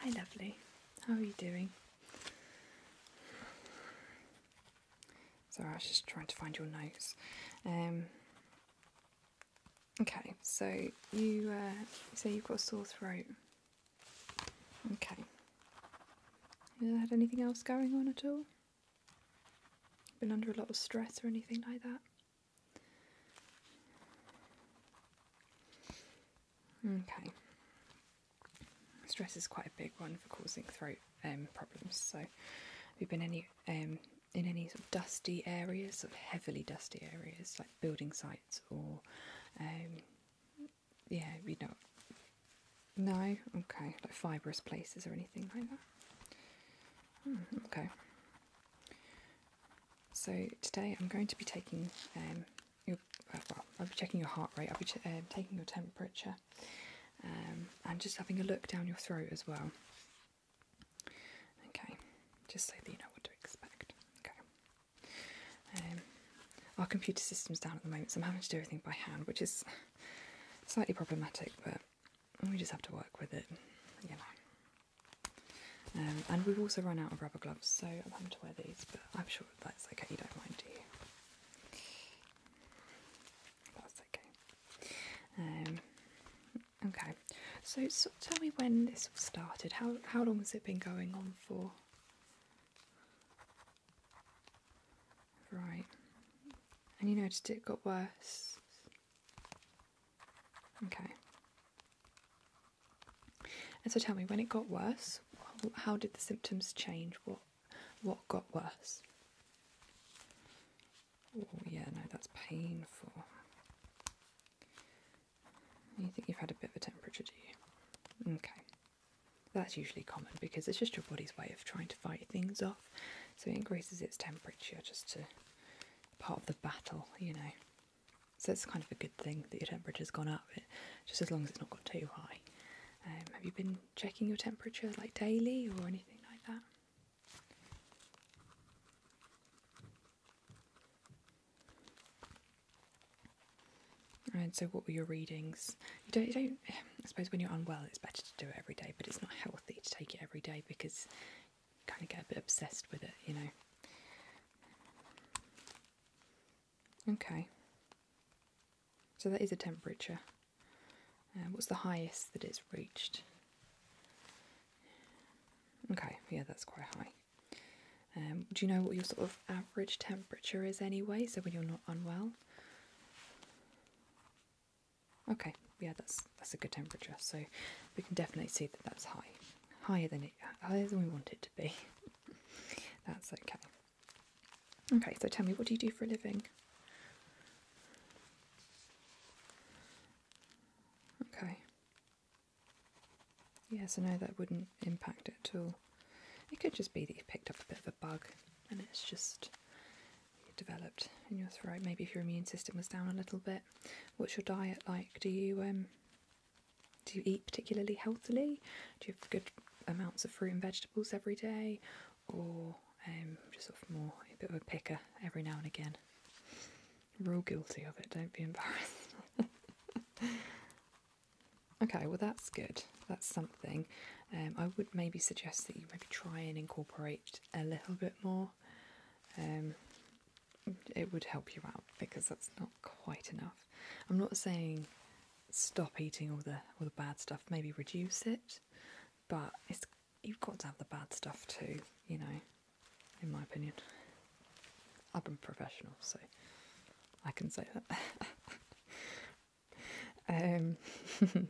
Hi, lovely. How are you doing? Sorry, I was just trying to find your notes. Um, okay, so uh, you say you've got a sore throat. Okay. You had anything else going on at all? Been under a lot of stress or anything like that? Okay. Stress is quite a big one for causing throat um, problems. So, have you been any um, in any sort of dusty areas, sort of heavily dusty areas, like building sites or, um, yeah, you know, no, okay, like fibrous places or anything like that. Hmm, okay. So today I'm going to be taking um, uh, I'll be checking your heart rate, I'll be um, taking your temperature, um, and just having a look down your throat as well. Okay, just so that you know what to expect. Okay. Um, our computer system's down at the moment, so I'm having to do everything by hand, which is slightly problematic, but we just have to work with it, you know. Um, and we've also run out of rubber gloves, so I'm having to wear these, but I'm sure that's okay, you don't mind, do you? That's okay. Um, okay, so, tell me when this all started. How, how long has it been going on for? Right. And you noticed it got worse? Okay. And so tell me, when it got worse, how did the symptoms change? What what got worse? Oh yeah, no, that's painful. You think you've had a bit of a temperature, do you? Okay. That's usually common because it's just your body's way of trying to fight things off. So it increases its temperature just to part of the battle, you know. So it's kind of a good thing that your temperature's gone up, just as long as it's not got too high. Um, have you been checking your temperature like daily or anything like that? And so, what were your readings? you don't. I suppose when you're unwell, it's better to do it every day, but it's not healthy to take it every day because you kind of get a bit obsessed with it, you know. Okay. So that is a temperature. Uh, what's the highest that it's reached? Okay, yeah, that's quite high. Um, do you know what your sort of average temperature is anyway? So when you're not unwell. Okay, yeah, that's that's a good temperature. So we can definitely see that that's high, higher than it, higher than we want it to be. That's okay. Okay, so tell me, what do you do for a living? Okay. Yeah, so no, that wouldn't impact it at all. It could just be that you picked up a bit of a bug and it's just developed in your throat. Maybe if your immune system was down a little bit. What's your diet like? Do you um do you eat particularly healthily? Do you have good amounts of fruit and vegetables every day? Or um, just sort of more a bit of a picker every now and again? We're all guilty of it, don't be embarrassed. okay, well, that's good. That's something. Um, I would maybe suggest that you maybe try and incorporate a little bit more. Um, it would help you out because that's not quite enough. I'm not saying stop eating all the all the bad stuff, maybe reduce it, but it's you've got to have the bad stuff too, you know, in my opinion. I've been professional, so I can say that. Um,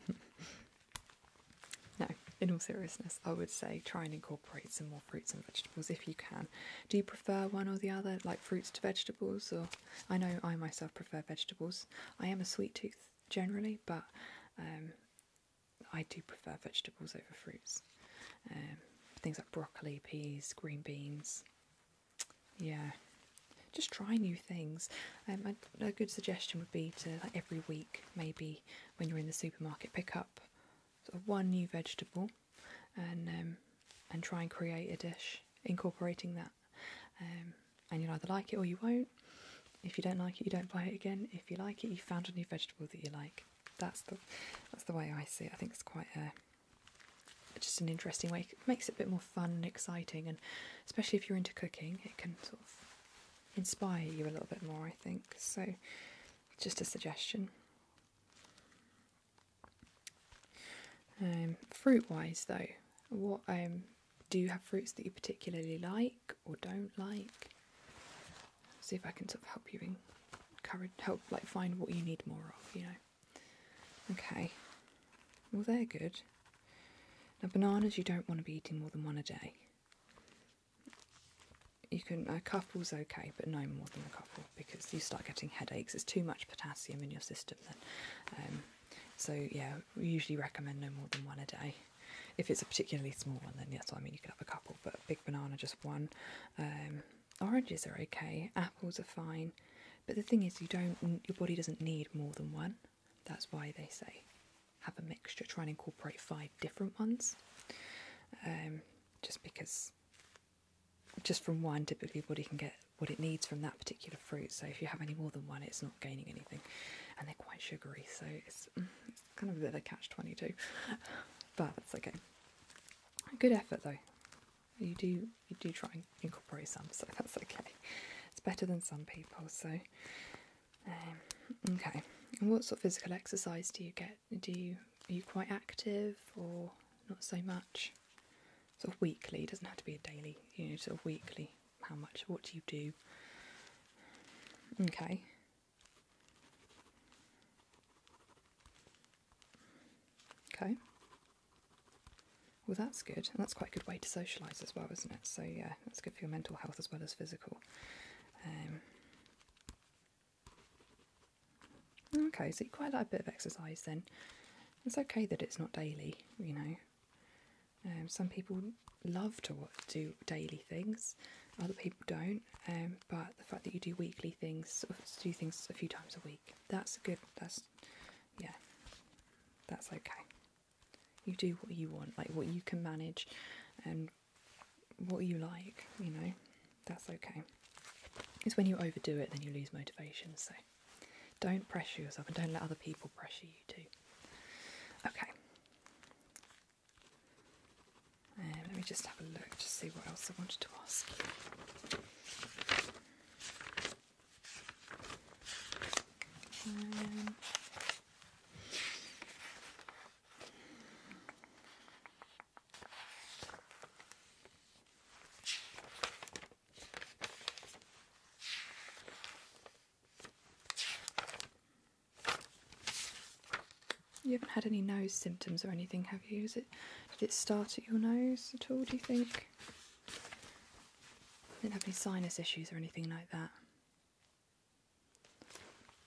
no, in all seriousness, I would say try and incorporate some more fruits and vegetables if you can. Do you prefer one or the other, like fruits to vegetables? Or I know I myself prefer vegetables. I am a sweet tooth generally, but um, I do prefer vegetables over fruits. Um, things like broccoli, peas, green beans. Yeah, just try new things. Um, a, good suggestion would be to every week, maybe when you're in the supermarket, pick up one new vegetable and um, and try and create a dish incorporating that um, and you'll either like it or you won't if you don't like it you don't buy it again if you like it you found a new vegetable that you like that's the that's the way I see it I think it's quite a just an interesting way it makes it a bit more fun and exciting and especially if you're into cooking it can sort of inspire you a little bit more I think so just a suggestion um, fruit wise, though, what um, do you have fruits that you particularly like or don't like? see if I can sort of help you encourage, help like find what you need more of, you know. Okay, well, they're good. Now, bananas, you don't want to be eating more than one a day. You can, a couple's okay, but no more than a couple because you start getting headaches. It's too much potassium in your system then. Um, so yeah, we usually recommend no more than one a day. If it's a particularly small one, then yes, I mean you could have a couple, but a big banana just one. Um, oranges are okay, apples are fine, but the thing is, you don't your body doesn't need more than one. That's why they say have a mixture. Try and incorporate five different ones, um, just because just from one, typically, body can get what it needs from that particular fruit. So if you have any more than one, it's not gaining anything, and they're quite sugary, so it's, mm, kind of a bit of a catch twenty two. but that's okay. Good effort though. You do you do try and incorporate some, so that's okay. It's better than some people. So um, okay. what sort of physical exercise do you get? do you are you quite active or not so much? So weekly, it doesn't have to be a daily, you know, sort of weekly. How much? What do you do? Okay. Okay. Well, that's good, and that's quite a good way to socialise as well, isn't it? So yeah, that's good for your mental health as well as physical. Um, Okay, so you quite like a bit of exercise then. It's okay that it's not daily, you know. Um, some people love to do daily things, other people don't. Um, but the fact that you do weekly things, do things a few times a week, that's good. That's yeah, that's okay. You do what you want, like what you can manage, and what you like, you know. That's okay. It's when you overdo it, then you lose motivation. So don't pressure yourself and don't let other people pressure you too. Okay. let me just have a look to see what else I wanted to ask you haven't had any nose symptoms or anything, have you? Is it did it start at your nose at all, do you think? Didn't have any sinus issues or anything like that.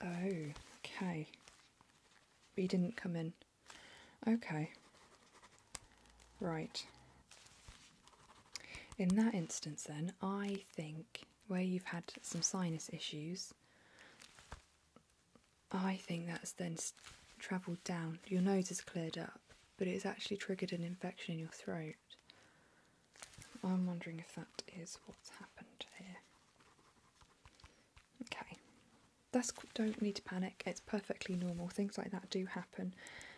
Oh, okay. We didn't come in Okay. Right. In that instance, then, I think where you've had some sinus issues, I think that's then travelled down. Your nose has cleared up, but it's actually triggered an infection in your throat. I'm wondering if that is what's happened here. Okay, that's don't need to panic. It's perfectly normal. Things like that do happen,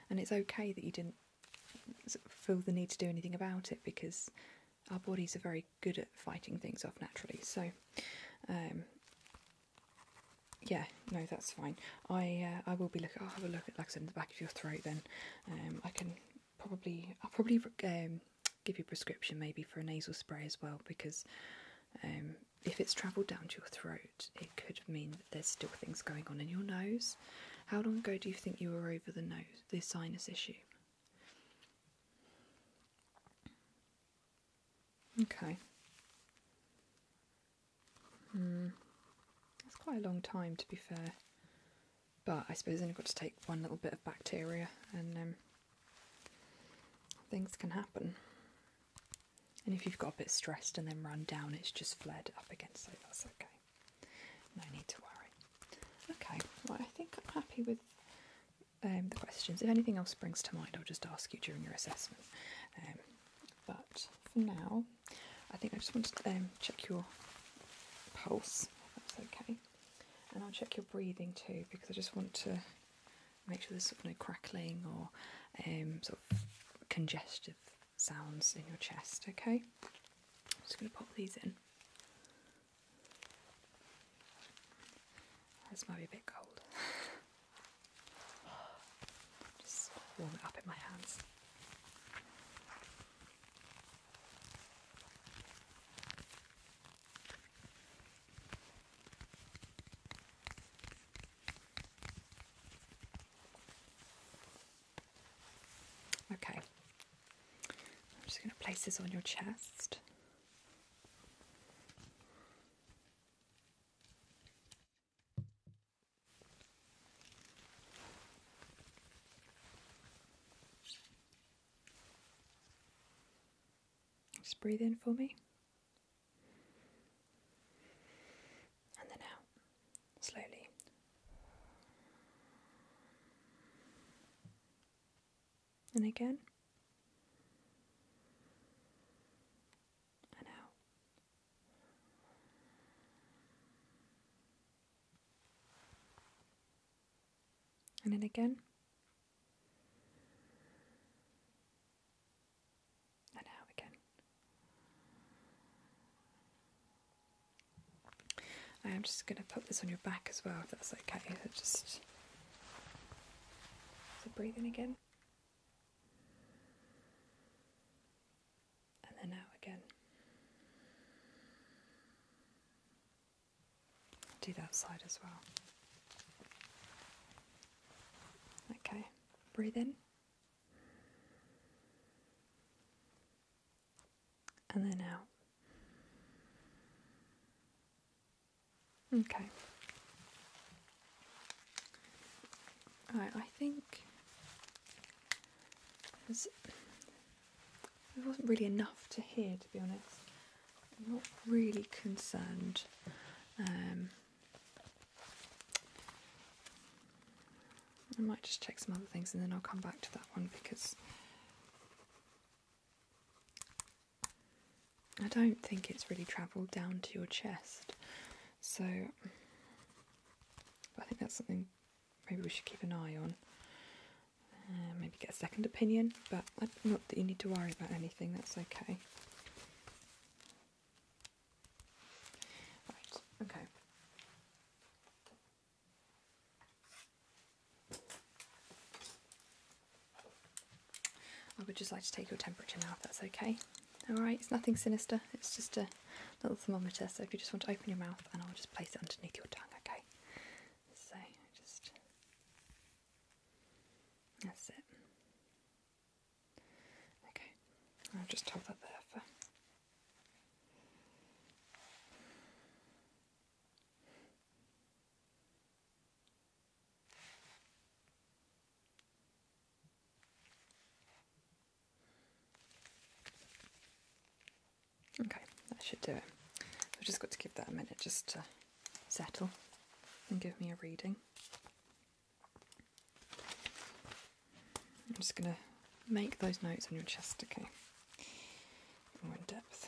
and it's okay that you didn't feel the need to do anything about it because our bodies are very good at fighting things off naturally. So, um, yeah, no, that's fine. I uh, I will be looking. I'll have a look at like I said in the back of your throat. Then um, I can probably I'll probably um, give you a prescription maybe for a nasal spray as well because um, if it's travelled down to your throat, it could mean that there's still things going on in your nose. How long ago do you think you were over the nose, the sinus issue? Okay. Mm. That's quite a long time to be fair. But I suppose then I've got to take one little bit of bacteria and um, Things can happen. And if you've got a bit stressed and then run down, it's just fled up again, so that's okay. No need to worry. Okay, I think I'm happy with um, the questions. If anything else springs to mind, I'll just ask you during your assessment. Um, but for now, I think I just want to um, check your pulse, that's okay. And I'll check your breathing too, because I just want to make sure there's sort of no crackling or um, sort of congestive sounds in your chest. Okay, I'm just going to pop these in. This might be a bit cold. Just warm it up in my hands. Okay, I'm just going to place this on your chest. Just breathe in for me and then out slowly. And again. And out. And then again and out again. I am just going to put this on your back as well, if that's okay. Just so breathe in again, and then out again. Do that side as well. Okay, breathe in. And then out. Okay. Right, I think there wasn't really enough to hear, to be honest. I'm not really concerned. Um, I might just check some other things and then I'll come back to that one because I don't think it's really travelled down to your chest. So I think that's something maybe we should keep an eye on. Uh, maybe get a second opinion, but I, not that you need to worry about anything, that's okay. Right, okay. I would just like to take your temperature now, if that's okay. Alright, it's nothing sinister, it's just a little thermometer, so if you just want to open your mouth and I'll just place it underneath your tongue, okay? So, just... That's it. Okay, I'll just hold that there for. Okay, that should do it. I've just got to give that a minute just to settle and give me a reading. I'm just going to make those notes on your chest, okay? More in depth.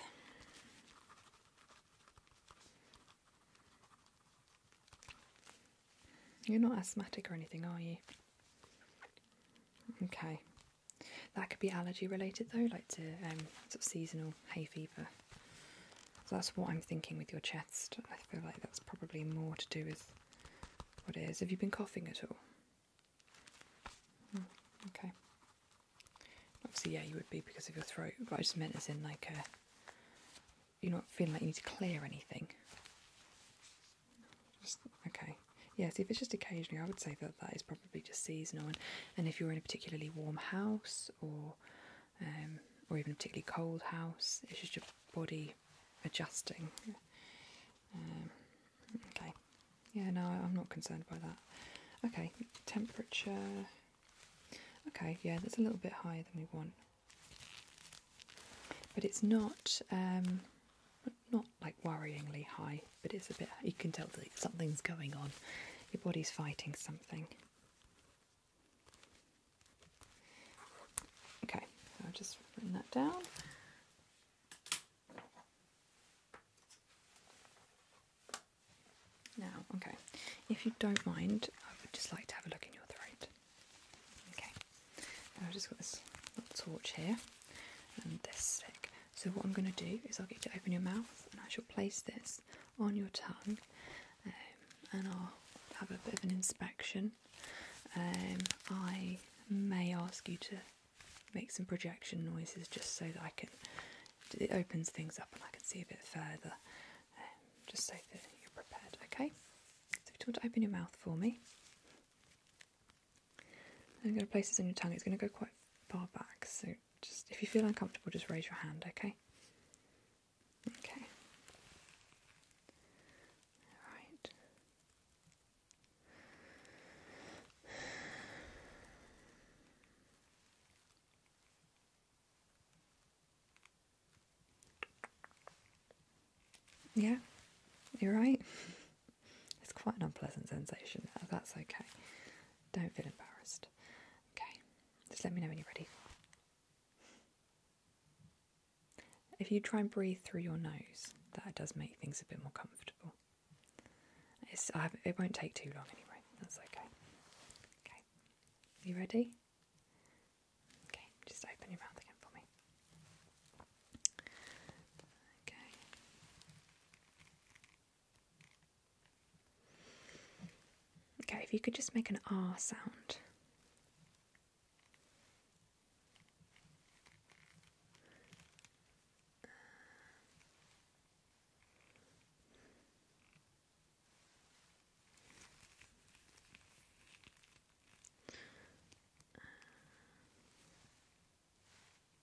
You're not asthmatic or anything, are you? Okay. That could be allergy related though, like to um, sort of seasonal hay fever. So that's what I'm thinking with your chest. I feel like that's probably more to do with what it is. Have you been coughing at all? Hmm, okay. Obviously, yeah, you would be because of your throat, but I just meant as in like a, uh, you're not feeling like you need to clear anything. okay. Yes, yeah, so if it's just occasionally, I would say that that is probably just seasonal. and if you're in a particularly warm house or um, or even a particularly cold house. It's just your body adjusting. Um, okay, yeah, no, I'm not concerned by that. Okay, temperature. Okay, yeah, that's a little bit higher than we want, but it's not um, not like worryingly high. But it's a bit. You can tell that something's going on. Your body's fighting something. Okay, I'll just bring that down. Now, okay, if you don't mind, I would just like to have a look in your throat. Okay, I've just got this little torch here and this stick. So what I'm going to do is I'll get you to open your mouth and I shall place this on your tongue um, and I'll have a bit of an inspection. Um, I may ask you to make some projection noises just so that I can, it opens things up and I can see a bit further, um, just so that you're prepared, okay? So if you want to open your mouth for me, I'm going to place this on your tongue, it's going to go quite far back, so just if you feel uncomfortable, just raise your hand, okay? Okay. All right. Yeah, you're right. It's quite an unpleasant sensation. Oh, that's okay. Don't feel embarrassed. Okay, just let me know when you're ready. If you try and breathe through your nose, that does make things a bit more comfortable. It's, it won't take too long anyway, that's okay. Okay, you ready? Okay, just open your mouth again for me. Okay. Okay, if you could just make an R sound.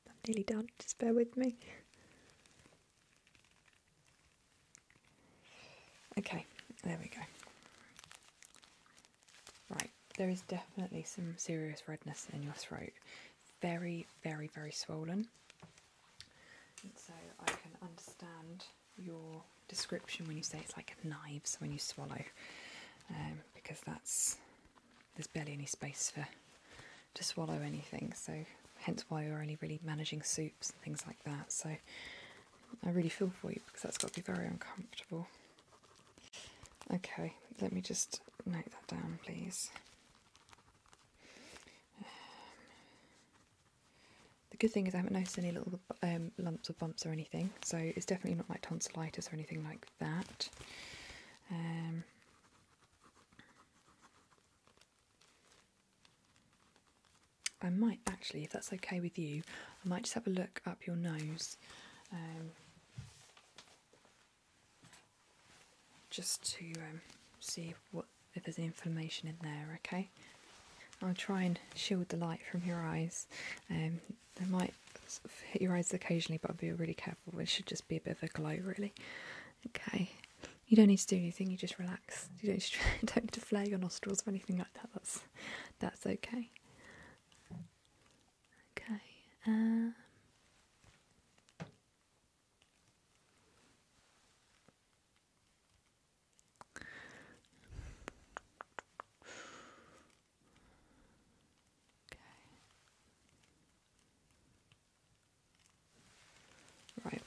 I'm nearly done, just bear with me. Okay, there we go. Right, there is definitely some serious redness in your throat. Very, very, very swollen. so I can understand your description when you say it's like knives when you swallow, um, because that's there's barely any space for to swallow anything. So hence why you're only really managing soup and things like that. So I really feel for you because that's got to be very uncomfortable. Okay, let me just note that down, please. Um, the good thing is I haven't noticed any little um, lumps or bumps or anything, so it's definitely not like tonsillitis or anything like that. Um, I might actually, if that's okay with you, I might just have a look up your nose. Um, just to um, see what if there's inflammation in there, okay? I'll try and shield the light from your eyes. Um, they might hit your eyes occasionally, but I'll be really careful. It should just be a bit of a glow, really. Okay. You don't need to do anything. You just relax. You don't need to flare your nostrils or anything like that. That's that's okay. okay. Um, right.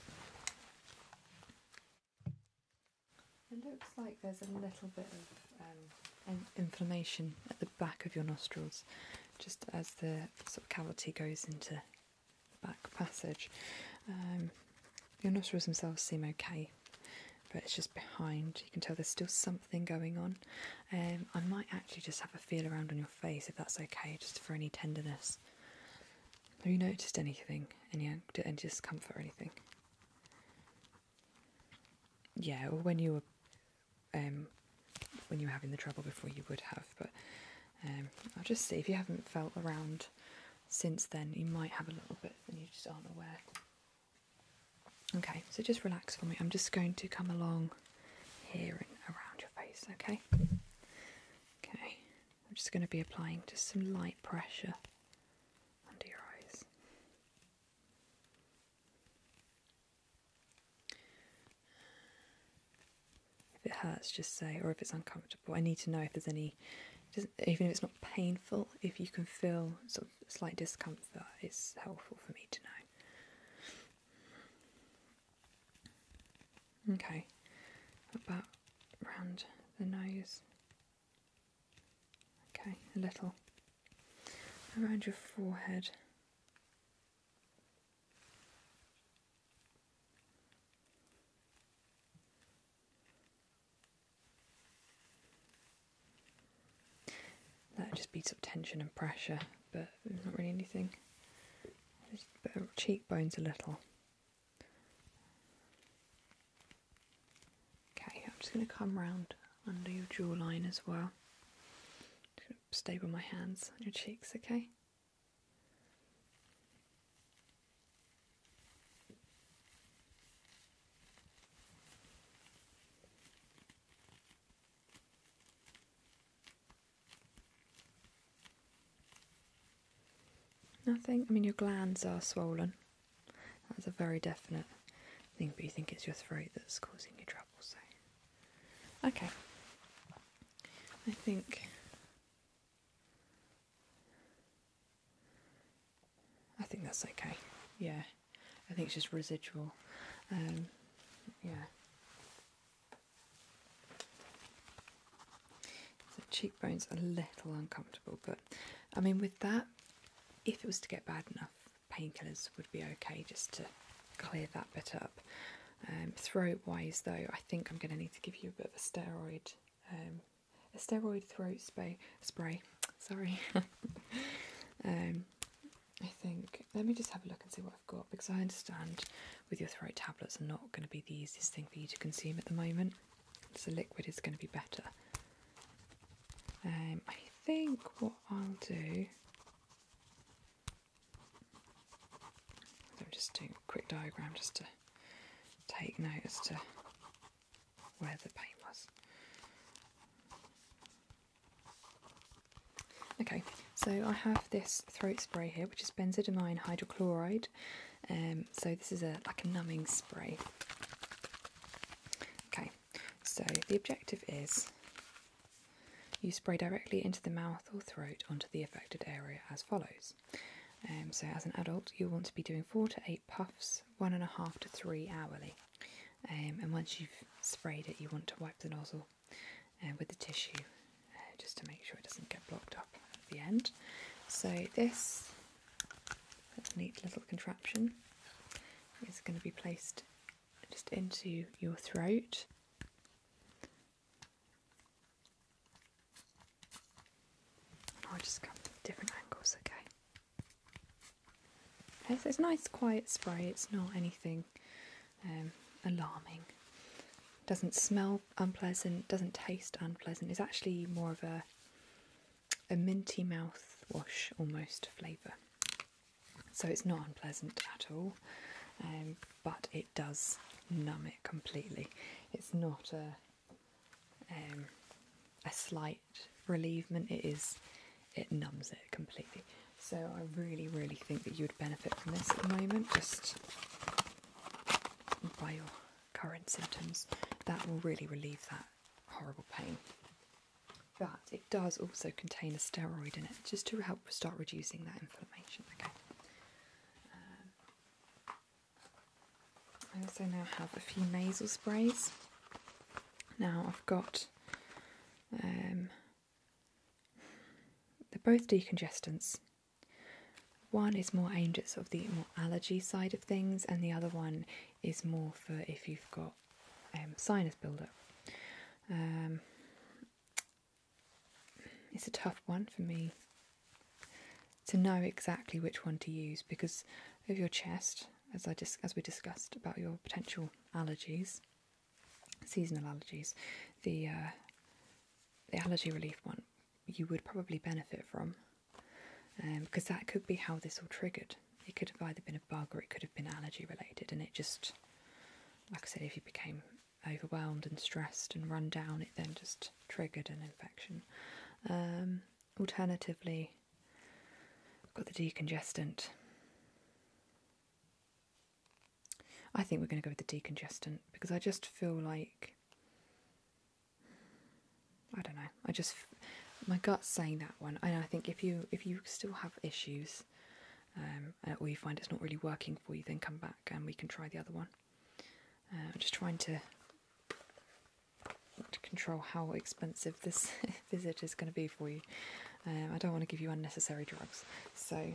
It looks like there's a little bit of um, inflammation at the back of your nostrils, just as the sort of cavity goes into the back passage. Um, your nostrils themselves seem okay, but it's just behind. You can tell there's still something going on. Um, I might actually just have a feel around on your face if that's okay, just for any tenderness. Have you noticed anything? Any, discomfort or anything? Yeah, or when you were, um, when you were having the trouble before, you would have. But um, I'll just see if you haven't felt around since then. You might have a little bit, and you just aren't aware. Okay, so just relax for me. I'm just going to come along here and around your face. Okay. Okay. I'm just going to be applying just some light pressure under your eyes. If it hurts, just say, or if it's uncomfortable. I need to know if there's any, even if it's not painful, if you can feel some slight discomfort, it's helpful for me to know. Okay, about around the nose. Okay, a little around your forehead. That just beats up tension and pressure, but not really anything. Just cheekbones a little. Okay, I'm just going to come round under your jawline as well. Stay with my hands on your cheeks, okay? Nothing? I mean, your glands are swollen. That's a very definite thing, but you think it's your throat that's causing you trouble, so. Okay. I think. I think that's okay. Yeah. I think it's just residual. Um, yeah cheekbones a little uncomfortable, but I mean with that, if it was to get bad enough, painkillers would be okay just to clear that bit up. Um, throat wise though, I think I'm going to need to give you a bit of a steroid, um, a steroid throat spray. Spray, sorry. Um, I think let me just have a look and see what I've got because I understand with your throat tablets are not going to be the easiest thing for you to consume at the moment so liquid is going to be better. Um, I think what I'll do, I'm just doing a quick diagram just to take note as to where the paint was. Okay, so I have this throat spray here, which is benzidine hydrochloride. Um, so this is a like a numbing spray. Okay, so the objective is you spray directly into the mouth or throat onto the affected area as follows. Um, so as an adult, you'll want to be doing four to eight puffs, one and a half to three hourly. Um, and once you've sprayed it, you want to wipe the nozzle uh, with the tissue uh, just to make sure it doesn't get blocked up at the end. So this neat little contraption is going to be placed just into your throat. I'll just come different angles, okay. it's a nice quiet spray, it's not anything um, alarming. It doesn't smell unpleasant, doesn't taste unpleasant. It's actually more of a a minty mouthwash almost flavour. So it's not unpleasant at all, um, but it does numb it completely. It's not a um, a slight reliefment. It is it numbs it completely. So I really, really think that you would benefit from this at the moment, just by your current symptoms, that will really relieve that horrible pain. But it does also contain a steroid in it just to help start reducing that inflammation. Um, I also now have a few nasal sprays. Now I've got um, they're both decongestants. One is more aimed at sort of the more allergy side of things, and the other one is more for if you've got um, sinus buildup. Um, it's a tough one for me to know exactly which one to use because of your chest, as I dis- as we discussed about your potential allergies, seasonal allergies. The uh, the allergy relief one you would probably benefit from, because um, that could be how this all triggered. It could have either been a bug or it could have been allergy related, and it just, like I said, if you became overwhelmed and stressed and run down, it then just triggered an infection. Um, alternatively, got the decongestant. I think we're going to go with the decongestant because I just feel like I don't know. I just my gut's saying that one, and I think if you if you still have issues, and um, we uh, find it's not really working for you, then come back and we can try the other one. Uh, I'm just trying to control how expensive this visit is going to be for you. Uh, I don't want to give you unnecessary drugs, so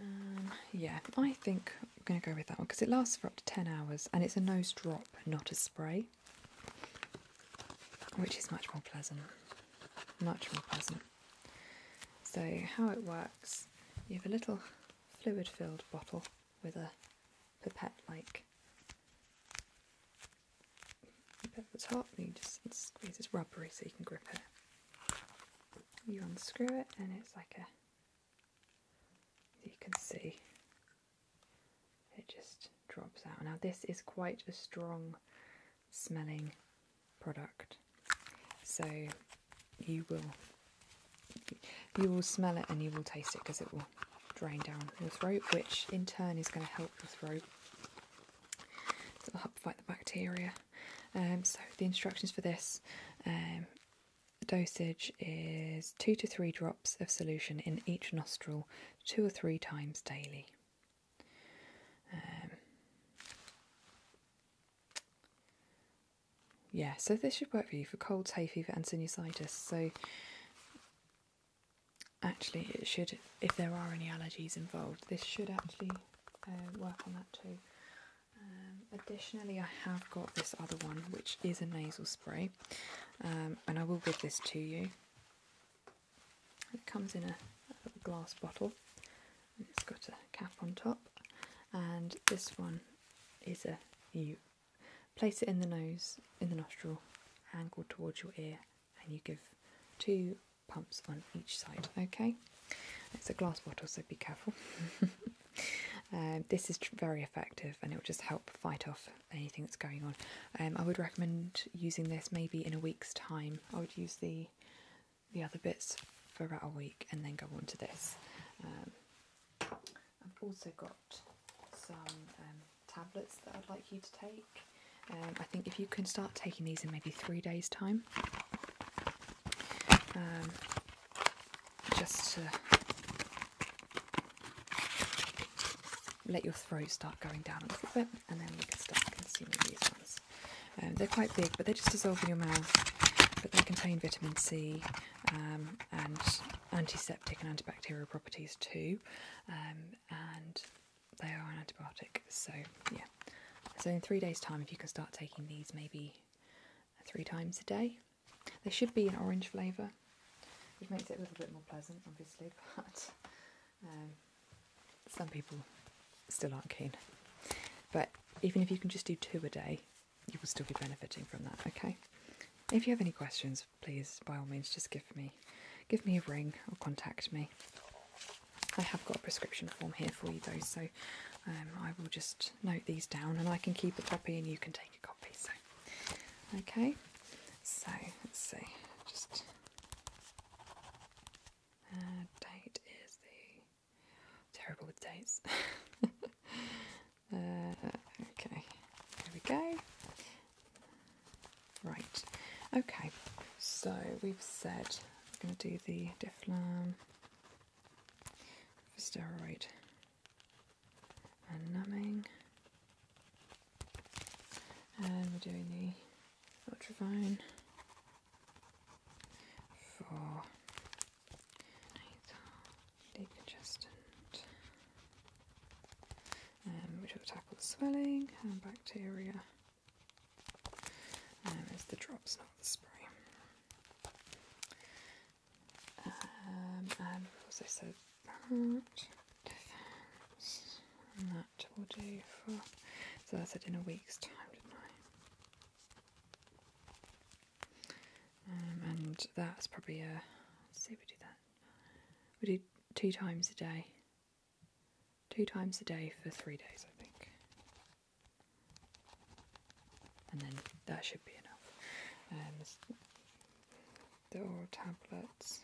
um, yeah, I think I'm going to go with that one because it lasts for up to 10 hours and it's a nose drop, not a spray, which is much more pleasant. Much more pleasant. So, how it works you have a little fluid filled bottle with a pipette like bit at the top, you just squeeze it's rubbery so you can grip it. You unscrew it, and it's like a there. You can see it just drops out. Now, this is quite a strong smelling product, so you will you will smell it and you will taste it because it will drain down your throat, which in turn is going to help your throat. it'll help fight the bacteria. Um, so the instructions for this um, dosage is two to three drops of solution in each nostril, two or three times daily. Um, yeah, so this should work for you for colds, hay fever, and sinusitis. So actually, it should, if there are any allergies involved, this should actually uh, work on that too. Um, additionally, I have got this other one, which is a nasal spray, um, and I will give this to you. It comes in a, glass bottle, it's got a cap on top, and this one is a you place it in the nose, in the nostril, angled towards your ear, and you give two pumps on each side. Okay. It's a glass bottle, so be careful. Um, this is very effective and it will just help fight off anything that's going on. Um, I would recommend using this maybe in a week's time. I would use the the other bits for about a week and then go on to this. Um, I've also got some tablets that I'd like you to take. I think if you can start taking these in maybe three days' time, just to let your throat start going down a little bit, and then we can start consuming these ones. Um, they're quite big, but they just dissolve in your mouth. But they contain vitamin C um, and antiseptic and antibacterial properties too, um, and they are an antibiotic. So yeah, so in three days' time, if you can start taking these, maybe three times a day. There should be an orange flavour, which makes it a little bit more pleasant, obviously, but um, some people still aren't keen. But even if you can just do two a day, you will still be benefiting from that, okay? If you have any questions, please, by all means, just give me give me a ring or contact me. I have got a prescription form here for you though, so um, I will just note these down and I can keep a copy and you can take a copy. So, okay, so let's see, just uh, date is the terrible with dates. Uh, okay, There we go. Right, okay, so we've said we're going to do the Difflam steroid and numbing. And we're doing the ultravine for decongestant, um, which will tackle the swelling and bacteria. Um, it's the drops, not the spray. Um, also so that defense, that will do for. So I said in a week's time, didn't I? Um, and that's probably a. Uh, let's see, we do that. We do two times a day. Two times a day for three days, I think and then that should be enough. Um, the oral tablets.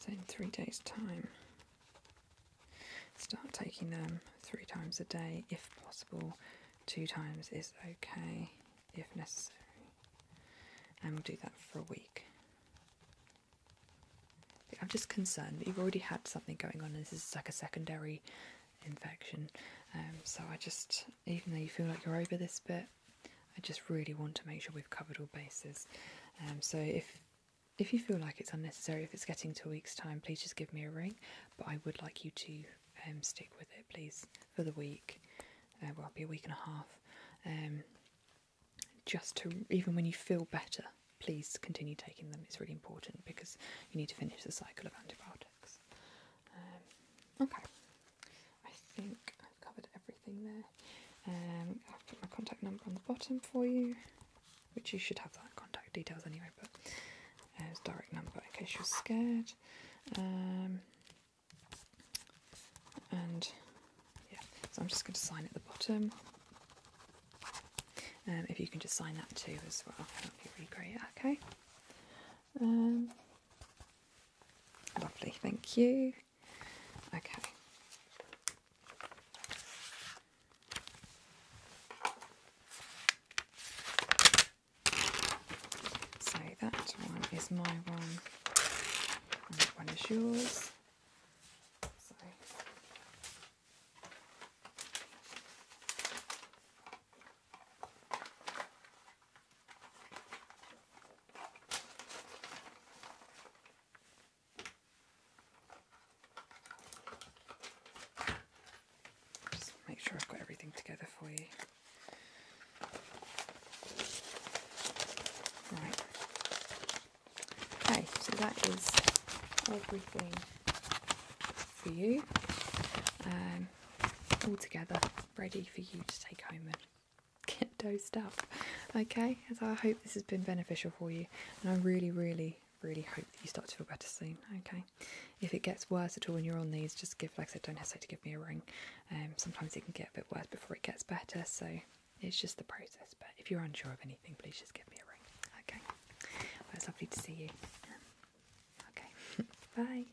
So in three days' time, start taking them three times a day if possible. Two times is okay if necessary, and we'll do that for a week. I'm just concerned that you've already had something going on, and this is like a secondary infection. Um, so I just, even though you feel like you're over this bit, I just really want to make sure we've covered all bases. Um, so if if you feel like it's unnecessary, if it's getting to a week's time, please just give me a ring. But I would like you to um, stick with it, please, for the week. Uh, well, it'll be a week and a half. just to, even when you feel better, please continue taking them. It's really important because you need to finish the cycle of antibiotics. Um, okay, I think I've covered everything there. Um, I've put my contact number on the bottom for you, which you should have that contact details anyway, but uh, direct number in case you're scared. Um, and yeah, so I'm just going to sign at the bottom. Um, if you can just sign that too as well, that would be really great. Okay. Um, lovely, thank you. Okay. So that one is my one, and that one is yours make sure I've got everything together for you. Right. Okay, so that is everything for you, um, all together, ready for you to take home and get dosed up. Okay, so I hope this has been beneficial for you, and I really, really, really hope that you start to feel better soon. Okay, if it gets worse at all when you're on these, just give, like I said, don't hesitate to give me a ring. Um, sometimes it can get a bit worse before it gets better, so it's just the process. But if you're unsure of anything, please just give me a ring. Okay. Well, it's lovely to see you. okay, bye.